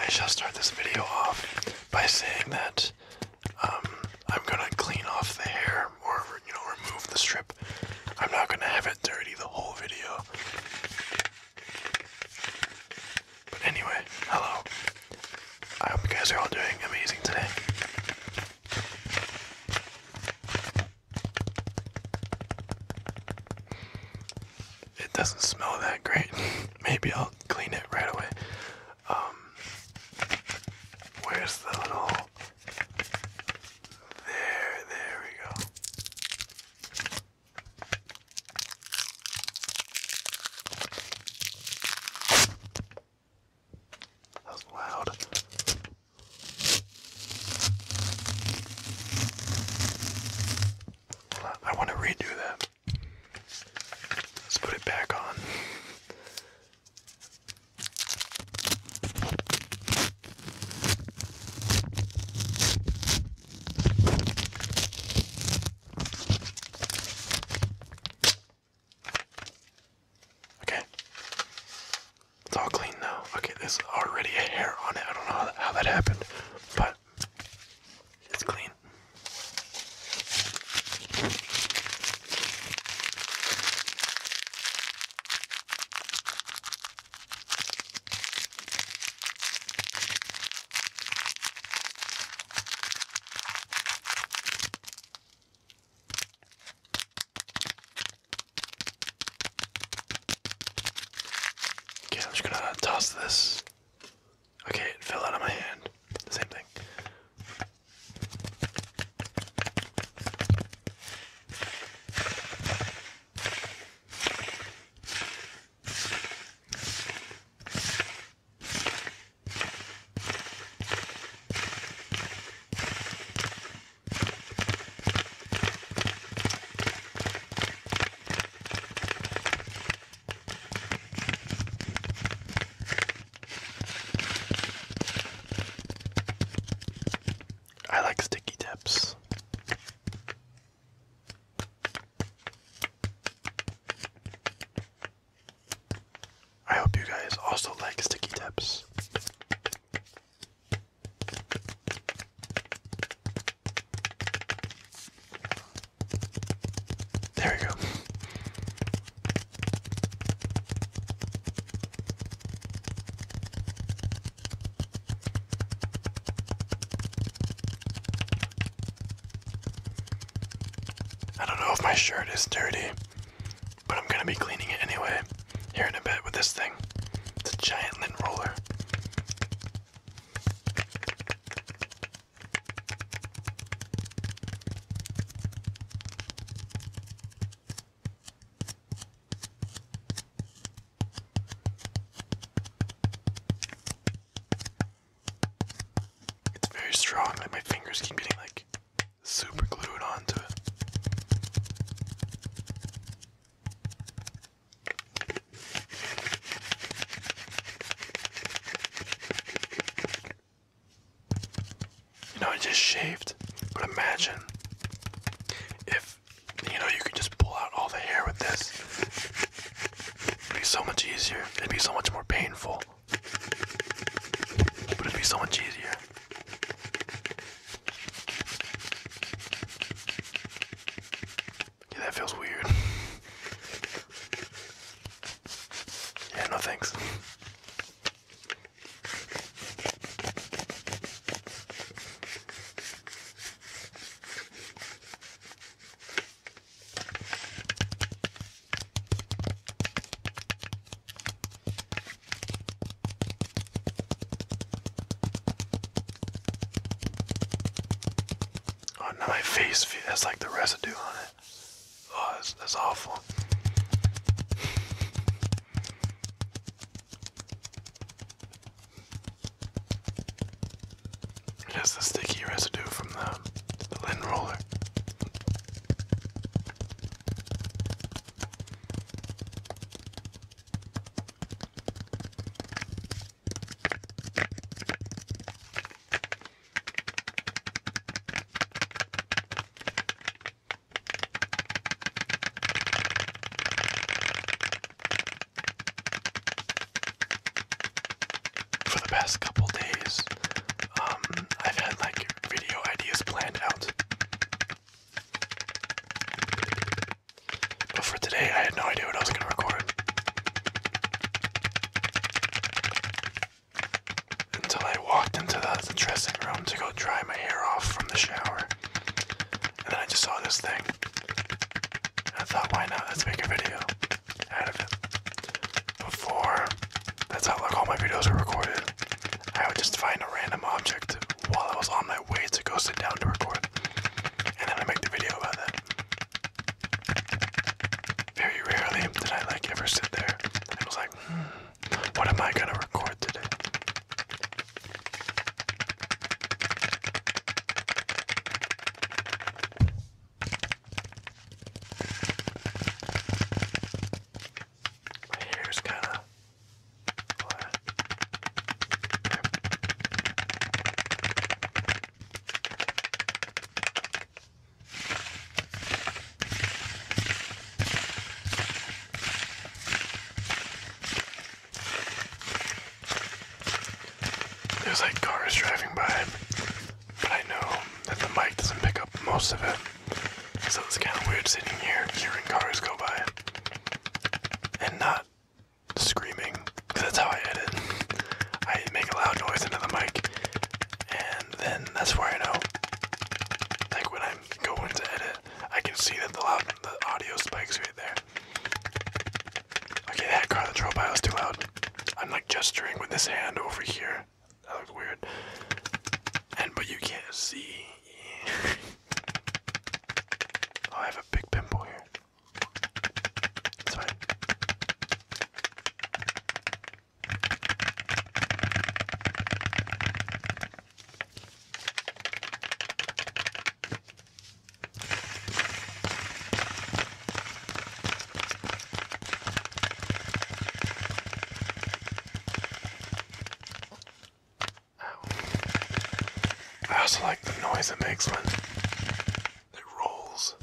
I shall start this video off by saying that um, I'm gonna clean off the hair or you know remove the strip. I'm not gonna have it dirty the whole video. But anyway, hello. I hope you guys are all doing amazing today it doesn't smell that great. Maybe I'll clean it right away. Um, where's the little? There, there we go. That loud. I want to redo that. Let's put it back on. Okay. It's all clean now. Okay, there's already a hair on it. I don't know how that, happened but it's clean. Okay, I'm just gonna toss this. Okay, it fell out of my hand. Same thing. I like sticky tips. I hope you guys also like sticky tips. There we go. I don't know if my shirt is dirty, but I'm gonna be cleaning it anyway here in a bit with this thing. It's a giant lint roller. It's very strong, like my fingers keep getting like super glued onto it. You I just shaved, but imagine if, you know, you could just pull out all the hair with this. It'd be so much easier. It'd be so much more painful. But it'd be so much easier. Yeah, that feels weird. Yeah, no thanks. Oh, now my face has like the residue on it. Oh, that's, awful. It has the sticky residue from the, the lint roller. For the past couple days, um, I've had like video ideas planned out. But for today, I had no idea what I was going to record until I walked into the, dressing room to go dry my hair off from the shower. And then I just saw this thing. I thought, why not? Let's make a video out of it. Before, that's how like all my videos are recorded. I would just find a random object while I was on my way to go sit down to record. And then I make the video about that. Very rarely did I like ever sit there. And it was like, hmm, what am I gonna record today? My hair's kinda there's like cars driving by, but I know that the mic doesn't pick up most of it. So it's kind of weird sitting here hearing cars go by and not screaming because that's how I edit. I make a loud noise into the mic, and then that's where I know. Like when I'm going to edit, I can see that the loud the audio spikes right there. Okay, that car the troll pile is too loud. I'm like gesturing with this hand over here. That looks weird. And but you can't see. Oh, I have a big pimple here. It's fine. I also like the noise it makes when it rolls.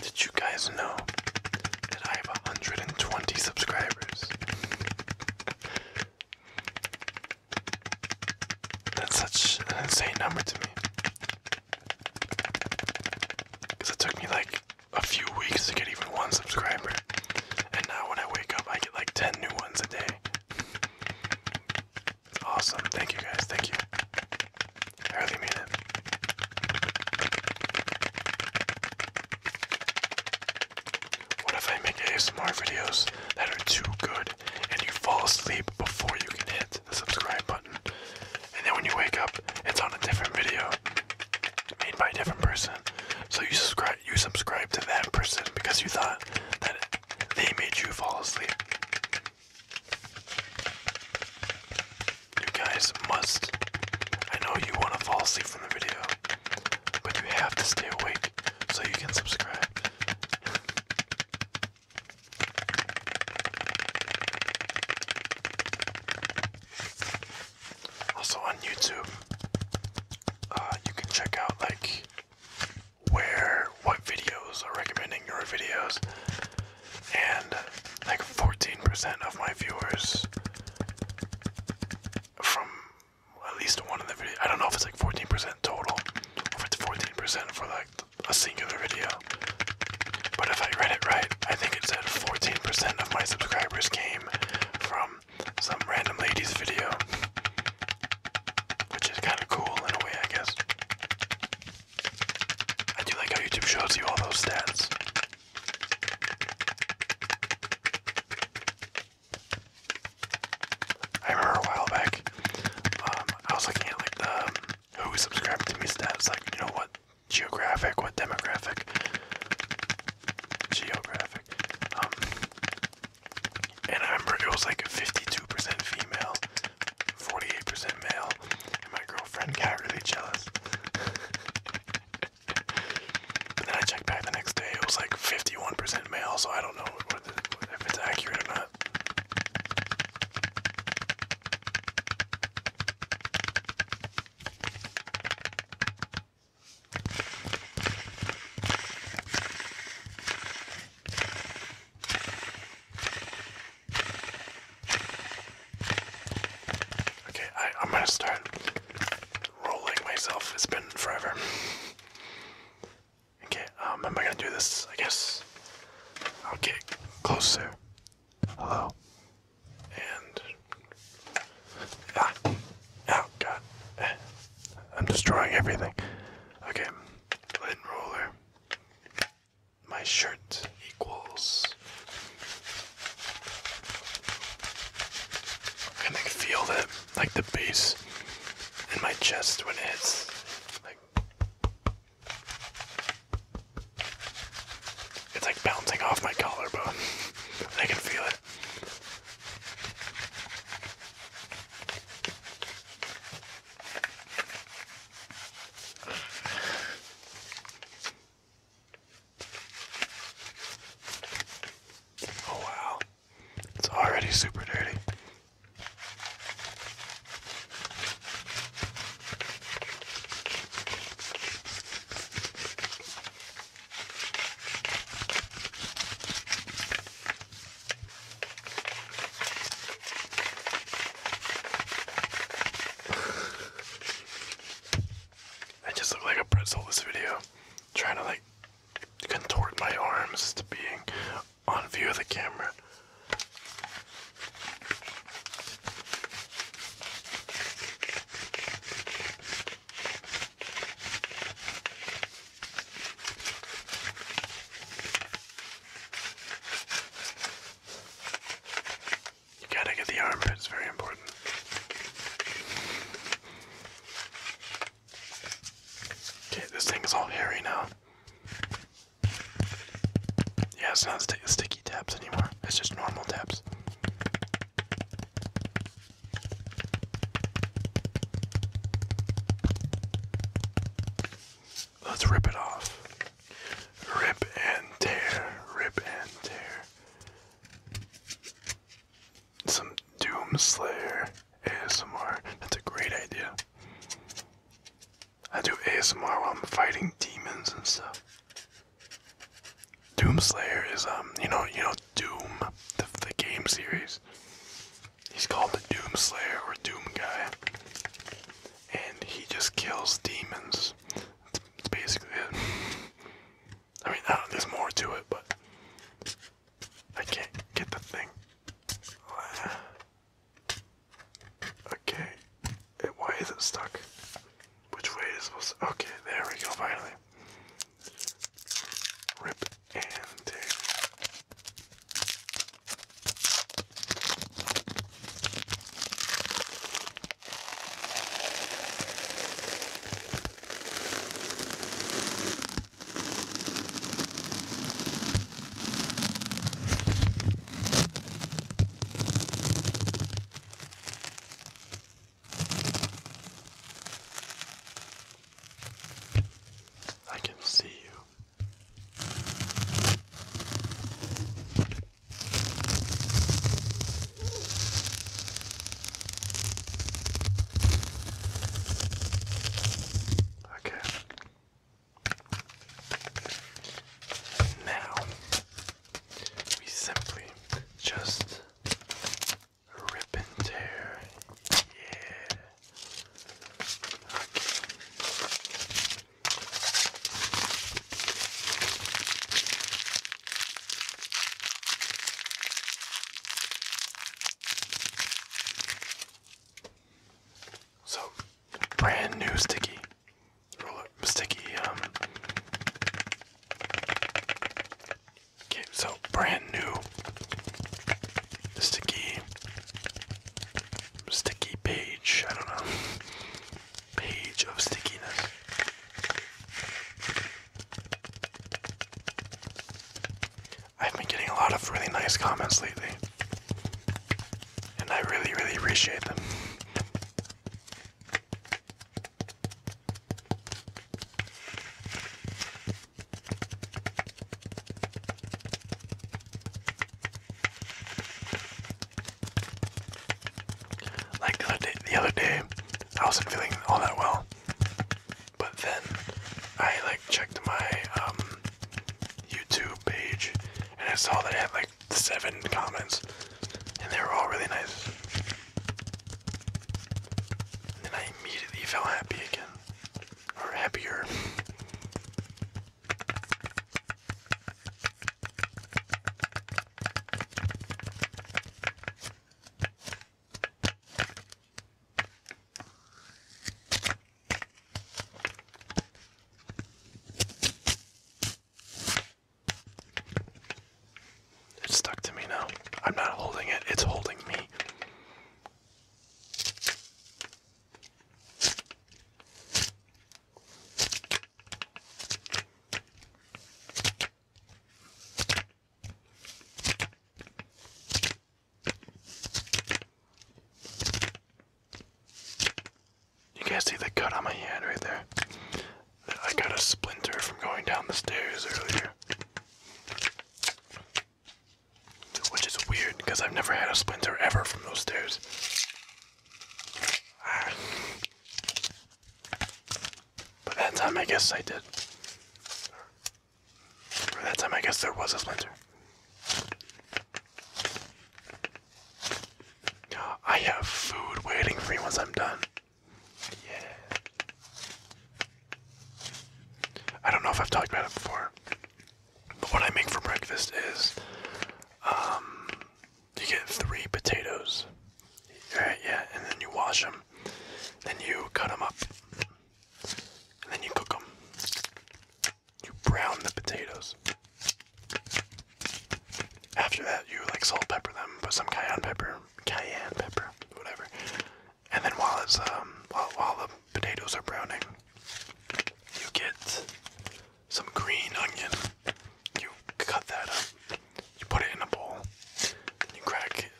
Did you guys know I have 120 subscribers. That's such an insane number to me. Because it took me like a few weeks to get even one subscriber. And now when I wake up, I get like 10 new ones a day. It's awesome. Thank you guys. Thank you. I really mean it. What if I make ASMR videos that are too good and you fall asleep before you can hit the subscribe button? And then when you wake up, it's on a different video made by a different person. So you subscribe you subscribe to that person because you thought that they made you fall asleep. You guys must. I know you want to fall asleep from the video, but you have to stay awake so you can subscribe. Also on YouTube, uh, you can check out like where what videos are recommending your videos, and like 14% of my viewers from at least one of the videos. I don't know if it's like 14% total, or if it's 14% for like a singular video. But if I read it right, I think it said 14% of my subscribers came from some random lady's video. Which is kind of cool in a way, I guess. I do like how YouTube shows you all those stats. I remember a while back, um, I was looking at like the um, who subscribed to me stats, like you know what geographic, what demographic, geographic, um, and I remember it was like 52% female, 48% male, and my girlfriend got really jealous. But then I checked back the next day, it was like 51% male, so I don't know if it's accurate or not. Okay, I, am gonna start rolling myself. It's been forever. Okay, um, am I gonna do this? I guess Okay, closer. Hello. And ah, oh god, I'm destroying everything. Okay, lint roller. My shirt equals I can feel that, like the bass in my chest when it Like, it's like bouncing off my collarbone. I can feel it. Oh wow, it's already super dirty. I just look like a pretzel this video, trying to like contort my arms to being on view of the camera. You gotta get the armpit, it's very important. Okay, this thing is all hairy now. Yeah, it's not sticky taps anymore, it's just normal tabs. Let's rip it off. Rip and tear, rip and tear. Some Doomslayer ASMR. That's a great idea. I do ASMR while I'm fighting demons and stuff. Doomslayer is um you know you know Doom the, the game series. He's called the Doomslayer or Doom guy, and he just kills demons. That's, that's basically it. I mean, uh, there's more to it, but I can't get the thing. Okay, why is it stuck? Which way is it supposed Okay, there we go, finally. Rip and tear. I can see you. Okay. Now we simply just rip and tear. Yeah. Okay. So, brand new sticky sticky, um, okay, so brand new sticky, sticky page, I don't know, page of stickiness. I've been getting a lot of really nice comments lately, and I really, really appreciate them. Like the other day, I wasn't feeling all that well, but then I like checked my um, YouTube page and I saw that I had like seven comments, and they were all really nice. And then I immediately felt happy again, or happier. It's stuck to me now. I'm not holding it, it's holding me. You can't see the cut on my hand right there? I got a splinter from going down the stairs earlier. Which is weird because I've never had a splinter ever from those stairs. Ah. But that time, I guess I did. Or that time, I guess there was a splinter. I have food waiting for me once I'm done. Yeah. I don't know if I've talked about it before, but what I make for breakfast is um, you get three potatoes. Alright, yeah, and then you wash them. Then you cut them up. And then you cook them. You brown the potatoes. After that, you like salt pepper them, put some cayenne pepper, cayenne pepper, whatever. And then while it's um while, while the potatoes are browning, you get some green onion. You cut that up. You put it in a bowl, and you crack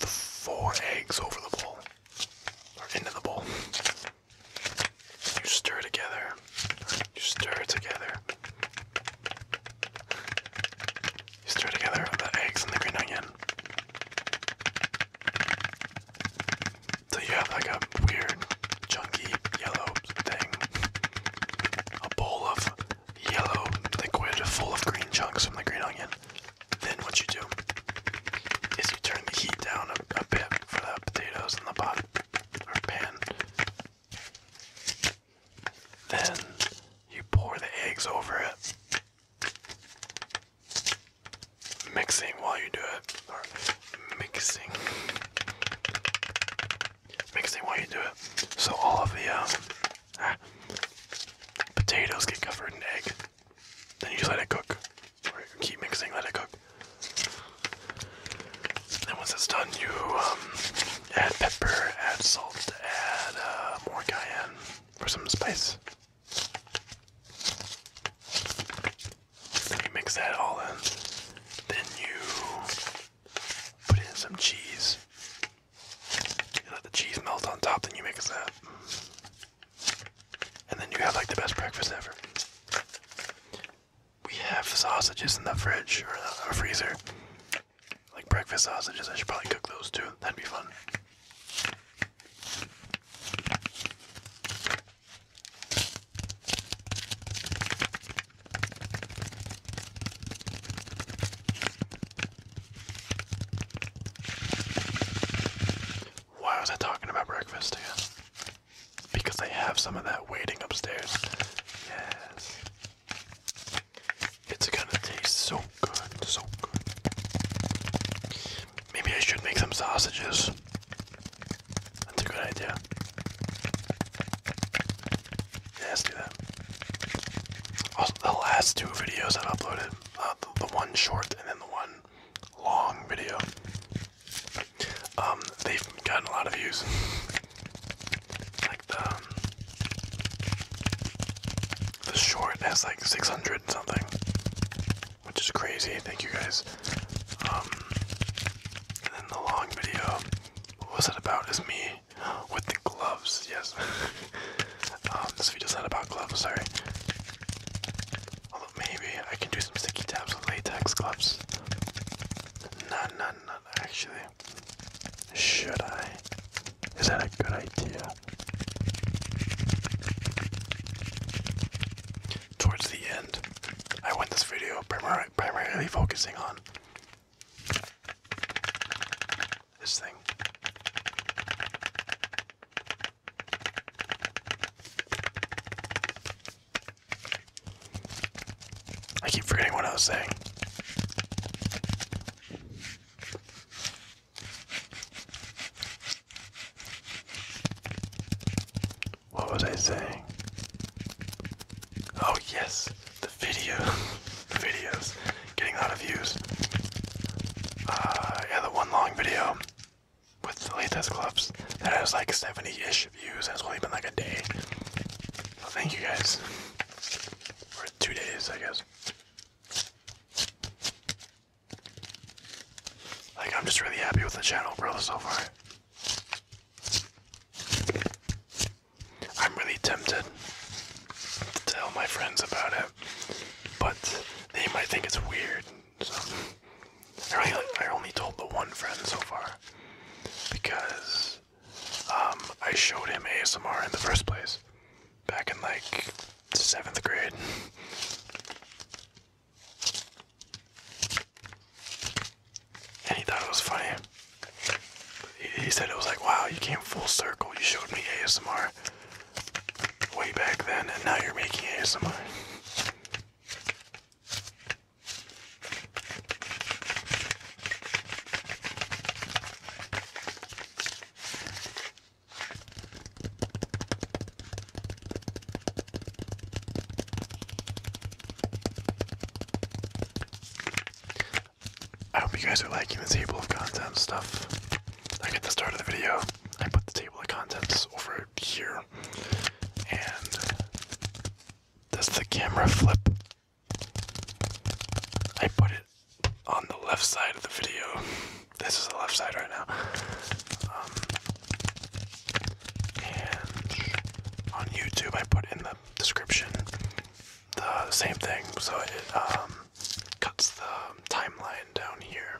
the four eggs over the bowl, or into the bowl. You stir together. You stir together. You stir together the eggs and the green onion. So you have like a weird, chunky, yellow thing. A bowl of yellow liquid full of green chunks from the green onion. Then what you do is you turn the heat down a, bit for the potatoes in the pot or pan. Then you pour the eggs over it. Mixing while you do it, or mixing Mixing while you do it. So all of the um, ah, potatoes get covered in egg. Then you just let it cook. keep mixing, let it cook. Then once it's done, you um, add pepper, add salt, add uh, more cayenne for some spice. Then you mix that all in. Then you Put in some cheese. You let the cheese melt on top, then you make a And then you have like the best breakfast ever. We have sausages in the fridge or the freezer. Like breakfast sausages, I should probably cook those too. That'd be fun. Why was I talking about breakfast Because they have some of that waiting upstairs. Yes. It's gonna taste so good, so good. Maybe I should make some sausages. That's a good idea. Yeah, do that. the last two videos i uploaded, uh, the, one short and then the one long video, um, they've gotten a lot of views. like the um, the short has like 600 something, which is crazy. Thank you guys. Um, and then the long video, what was it about? Is me with the gloves, yes. Um, this video is not about gloves, sorry. Although maybe I can do some sticky tabs with latex gloves. Not, not, not actually. Should I? Is that a good idea? Towards the end, I want this video primarily focusing on this thing. I keep forgetting what I was saying. What was I saying? Oh yes, the video, the videos, getting a lot of views. Uh, yeah, the one long video with the latest Clubs that has like 70-ish views, and only been like a day. thank you guys. for two days, I guess. Like, I'm just really happy with the channel, bro, so far. I'm really tempted to tell my friends about it, but they might think it's weird. So I, really, I only told the one friend so far because um, I showed him ASMR in the first place back in like seventh grade and he thought it was funny. He, said it was like, wow, you came full circle. You showed me ASMR way back then, and now you're making ASMR. I hope you guys are liking the table of contents stuff. I get the start of the video, I put the table of contents over here, and does the camera flip? I put it on the left side of the video. This is the left side right now. Um, and on YouTube, I put in the description. The same thing, so it um, cuts the timeline down here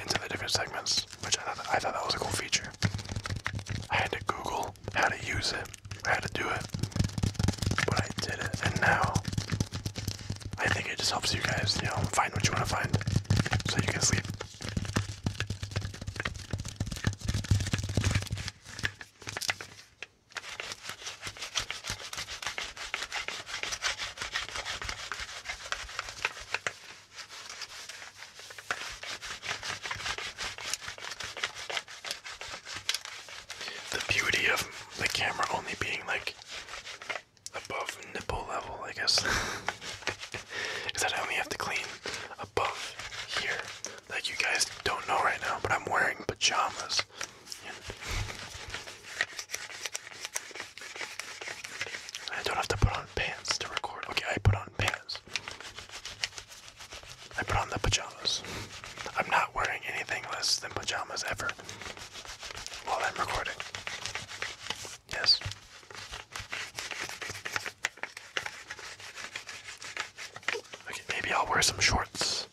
into the different segments, which I thought, I thought that was a cool feature. I had to Google how to use it, how to do it, but I did it, and now I think it just helps you guys, you know, find what you want to find, so you can sleep. The beauty of the camera only being like above nipple level, I guess, is that I only have to clean above here that you guys don't know right now, but I'm wearing pajamas. I don't have to put on pants to record. Okay, I put on pants. I put on the pajamas. I'm not wearing anything less than pajamas ever while I'm recording. Yes. Okay, maybe I'll wear some shorts,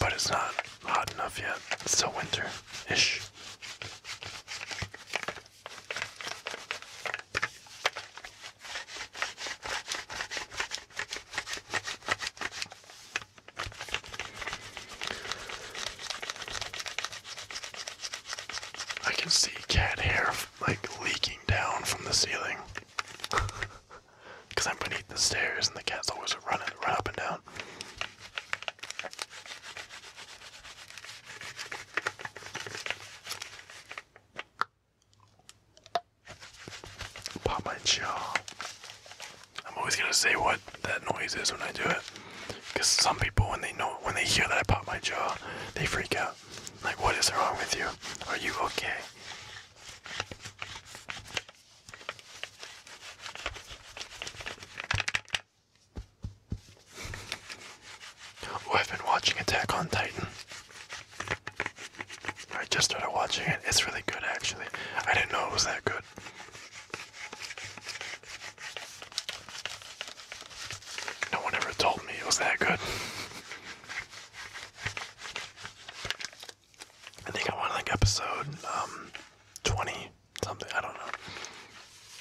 but it's not hot enough yet. It's still winter ish. I can see cat hair like leaking down from the ceiling. Because I'm beneath the stairs and the cat's always running, run up and down. Pop my jaw. I'm always gonna say what that noise is when I do it. Cause some people when they know when they hear that I pop my jaw, they freak out. Like what is wrong with you? Are you okay? Oh, I've been watching Attack on Titan. I just started watching it. It's really good, actually. I didn't know it was that good. No one ever told me it was that good. I think I'm like episode um, 20 something, I don't know.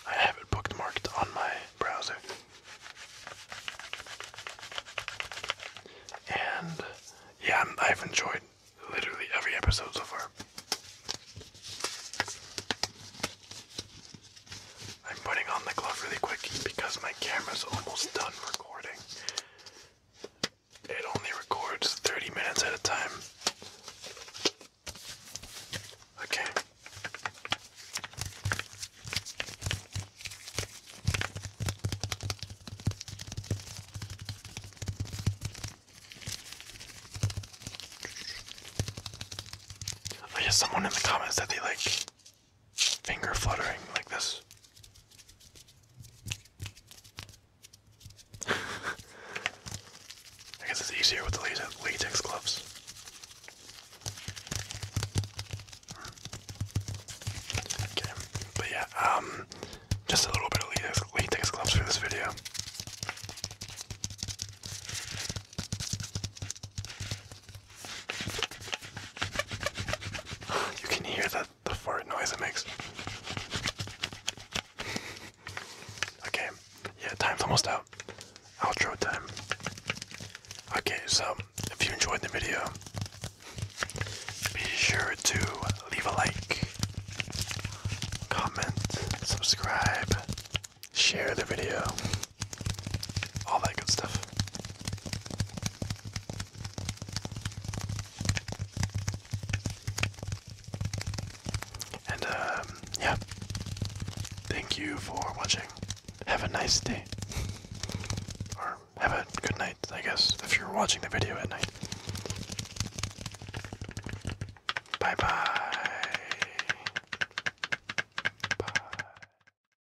I have it bookmarked on my browser. And yeah, I've enjoyed literally every episode so far. I'm putting on the glove really quick because my camera's almost done recording. It only records 30 minutes at a time. Okay. I guess someone in the comments that they like finger fluttering like this. I guess it's easier with the latex, gloves. Okay, but yeah, um, just a little bit of latex gloves for this video. You can hear the, the fart noise it makes. okay, yeah, time's almost out. Outro time. Okay, so if you enjoyed the video, be sure to leave a like, comment, subscribe, share the video all that good stuff. And um, yeah, thank you for watching. Have a nice day, or have a good night, I guess, if you're watching the video at night. Bye bye. Bye.